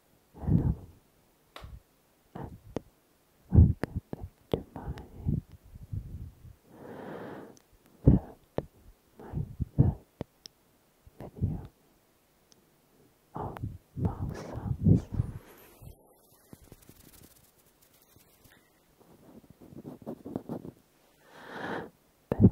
Hello and welcome to my third, my third video of mouth sounds. Best of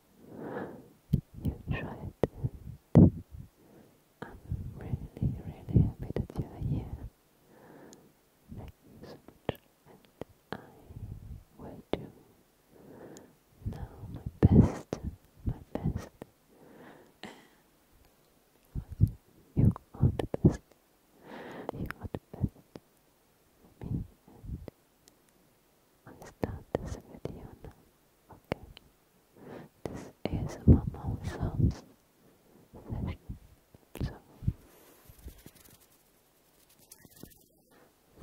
you tried I'm really, really happy that you are here. Thank you I will do now my best, my best. You are the best. You are the best me I'll start this Okay. This is a mouth sounds session. So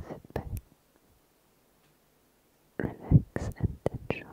sit back, relax and enjoy.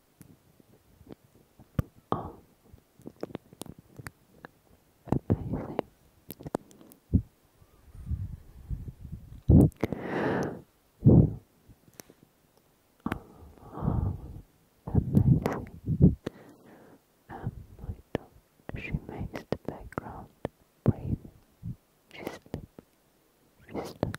Oh, amazing. Oh, amazing. she makes the background breathe. She's sleeping.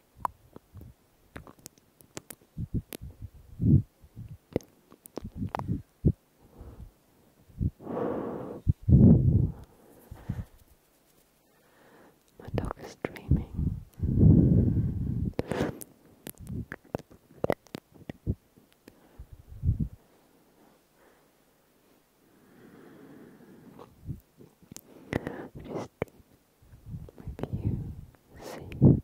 My dog is dreaming. Just Maybe you see treatment.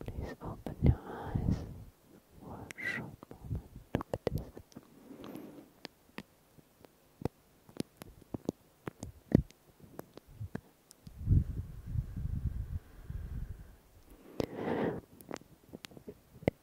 Please open your eyes for short moment. Look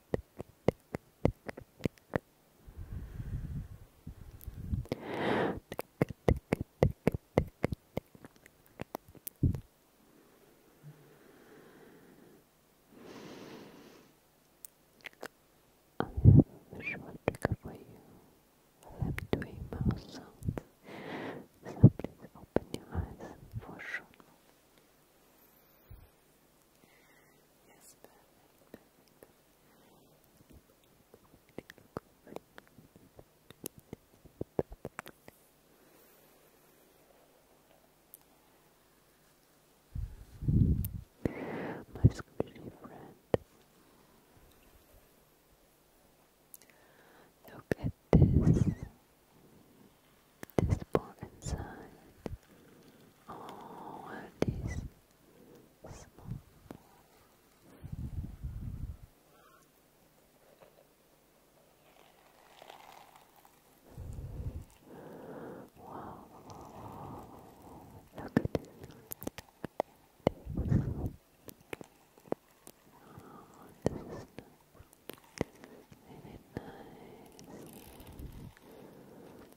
I have a short trigger for you. I'm doing mouse sounds. So please open your eyes for sure. Yes, perfect, perfect. My squishy friend. Look at this. This ball inside. Oh, are these small Wow, look at this. this is nice. Very nice.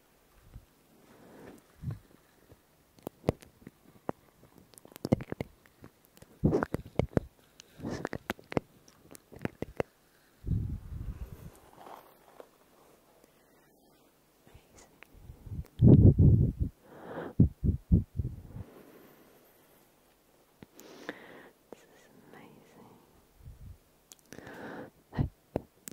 This is amazing.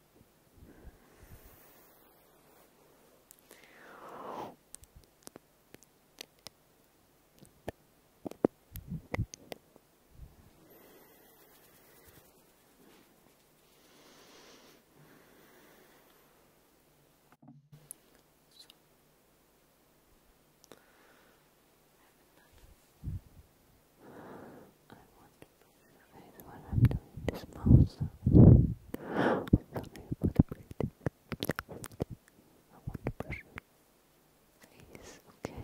I want is what I'm doing this mouse. I want to brush face, okay?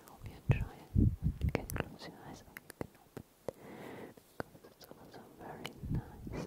I hope you enjoy can close your eyes can open Because it's also very nice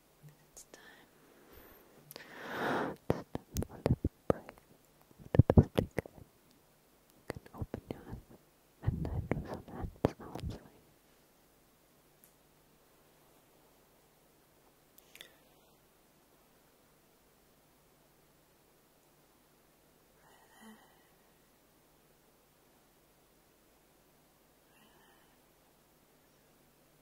It's time. It's time for a little break. The best you open your eyes and I do some hand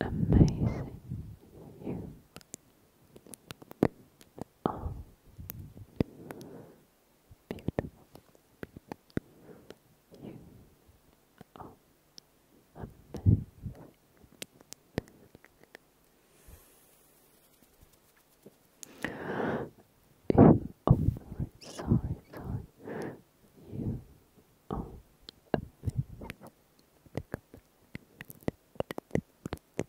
Amazing. You are amazing. You are beautiful. You are amazing. You, oh, sorry, sorry, sorry. You are amazing.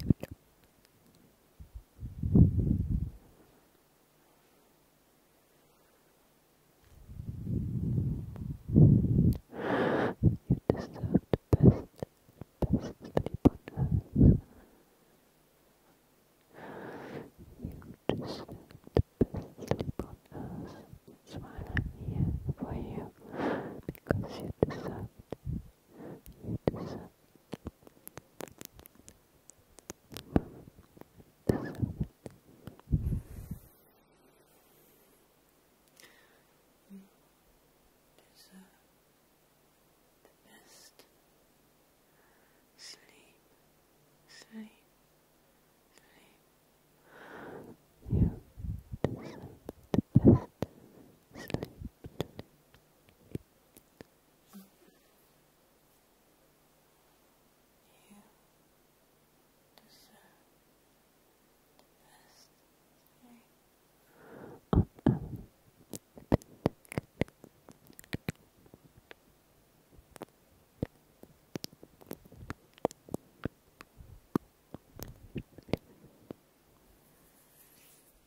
future. You deserve the best, best sleep on earth. You deserve the best sleep on earth. That's why I'm here for you, because you deserve it you deserve deserve you deserve the best sleep sleep sleep you deserve the best sleep um, you deserve the best thing on earth.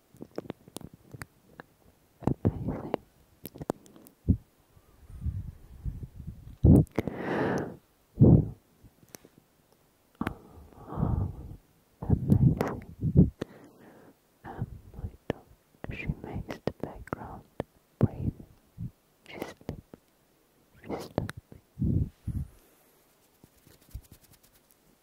Amazing. You amazing. she makes the background breathe. She's sleeping.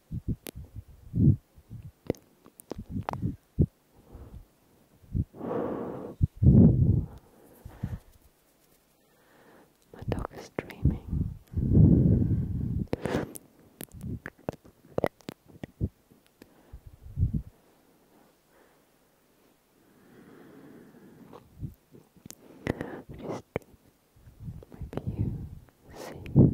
My dog is dreaming. Maybe you see that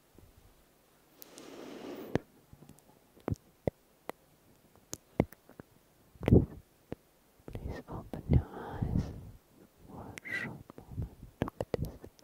Please open your eyes for a short moment. Look at this.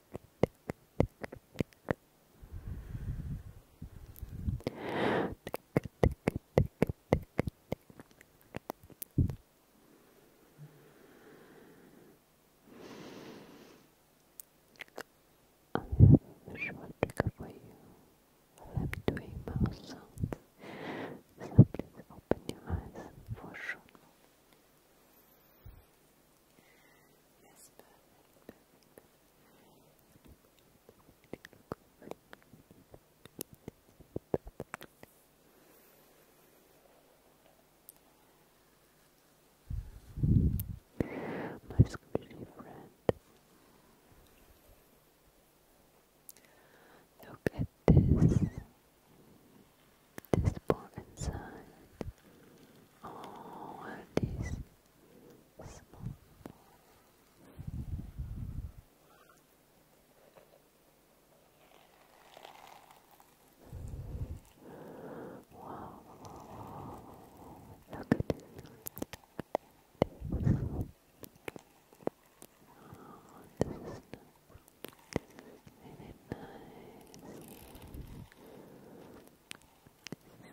I have a short for you. I'm doing mouth sounds, so please open your eyes for sure. Yes, perfect, My squishy friend. Look at this. This part inside. Oh, what are small. Wow, look at this. Oh, this is really nice.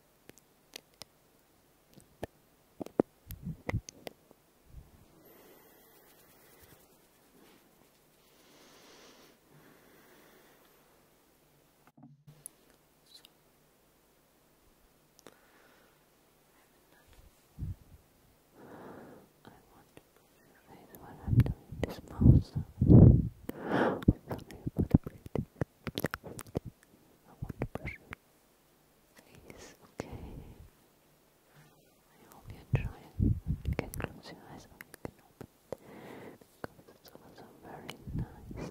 I want to put your face when I'm doing this mouse. Sorry about the breathing. I okay. I hope you enjoy You can close your eyes or you can open it. Because it's also very nice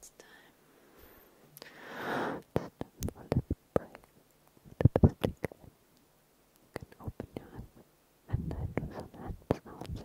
It's time. It's time surprised that the stick open your hand and it was an hand sound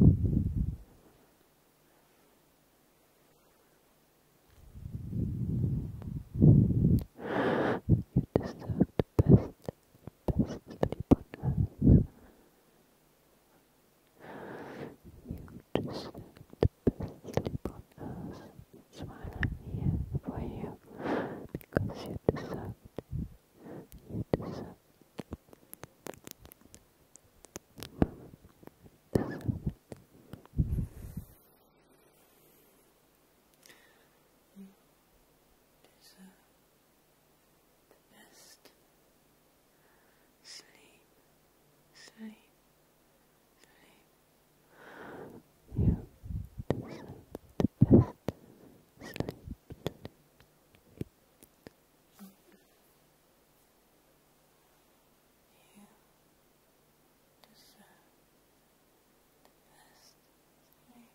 You deserve the best, best sleep on earth. You deserve the best sleep on earth. That's why i for you, because you deserve You deserve you deserve the best. Sleep, sleep, sleep. You deserve the best. Sleep, you deserve the best sleep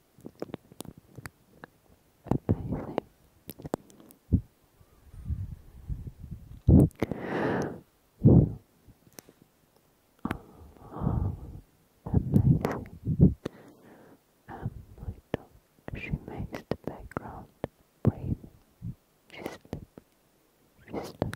Amazing. You are amazing. And my dog, she makes the background breathe. She's sleeping. She's sleeping.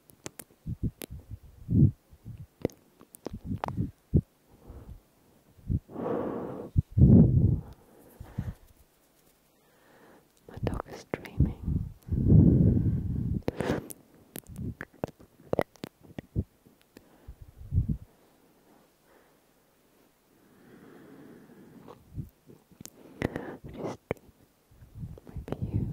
My dog is dreaming. Just maybe you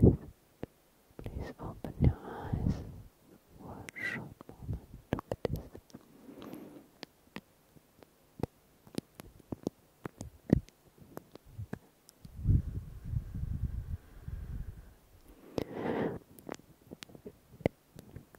Please open your eyes for short moment. Look at this.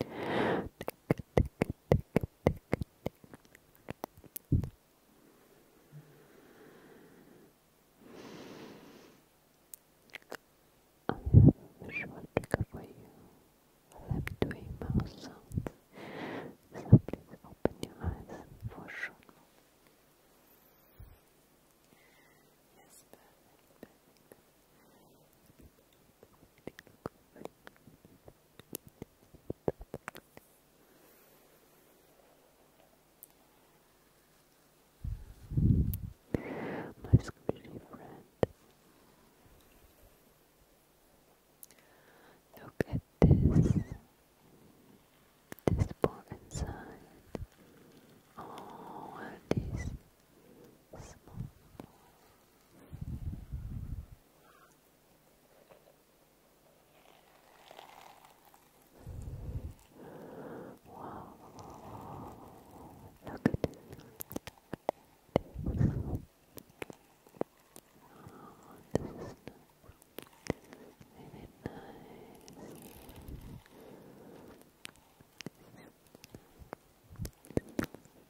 I have a short trigger for you. I love doing mouse sounds, so please open your eyes for sure. Yes, perfect, my squishy friend. Look at this. This part inside. Oh, and small. Wow. Look at this. Oh, this is really nice. This is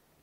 This is amazing.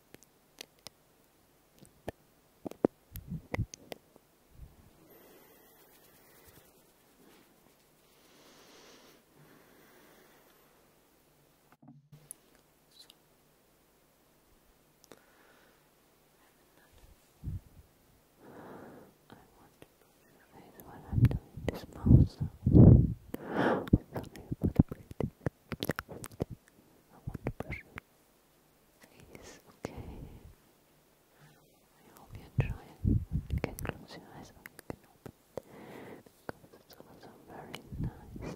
What I'm doing this mouse. Sorry about the breathing. I want to brush your okay? you enjoy it. You can close your eyes or can open it because it's also very nice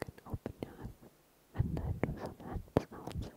can open your eyes and then do some hand sounds. Relax. Relax.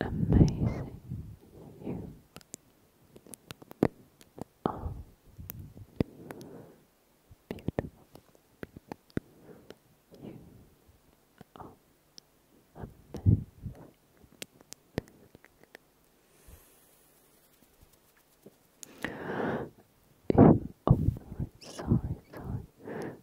Amazing. You are amazing. You are beautiful you on Monday. You are sorry, sorry. You are amazing.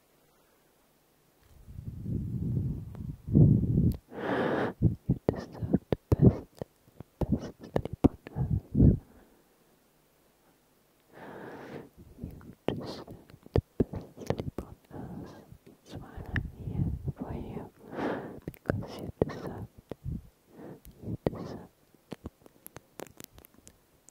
You deserve the best, best sleep You deserve the best sleep I'm here for you, because you deserve You deserve this.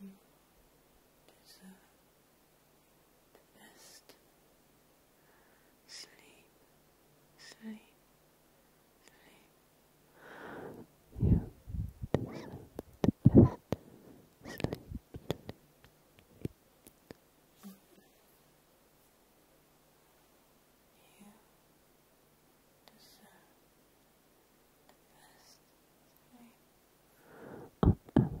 You deserve the best. Sleep, sleep, sleep. You deserve the best. Sleep, you deserve the best sleep on earth.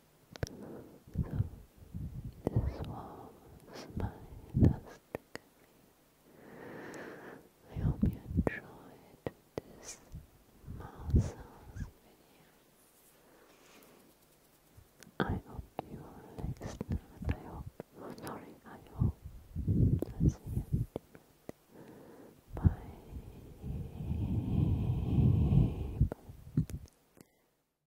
So, this was my last I hope you enjoyed this mouse video. I hope you are relaxed I hope, oh, I hope, i you Bye.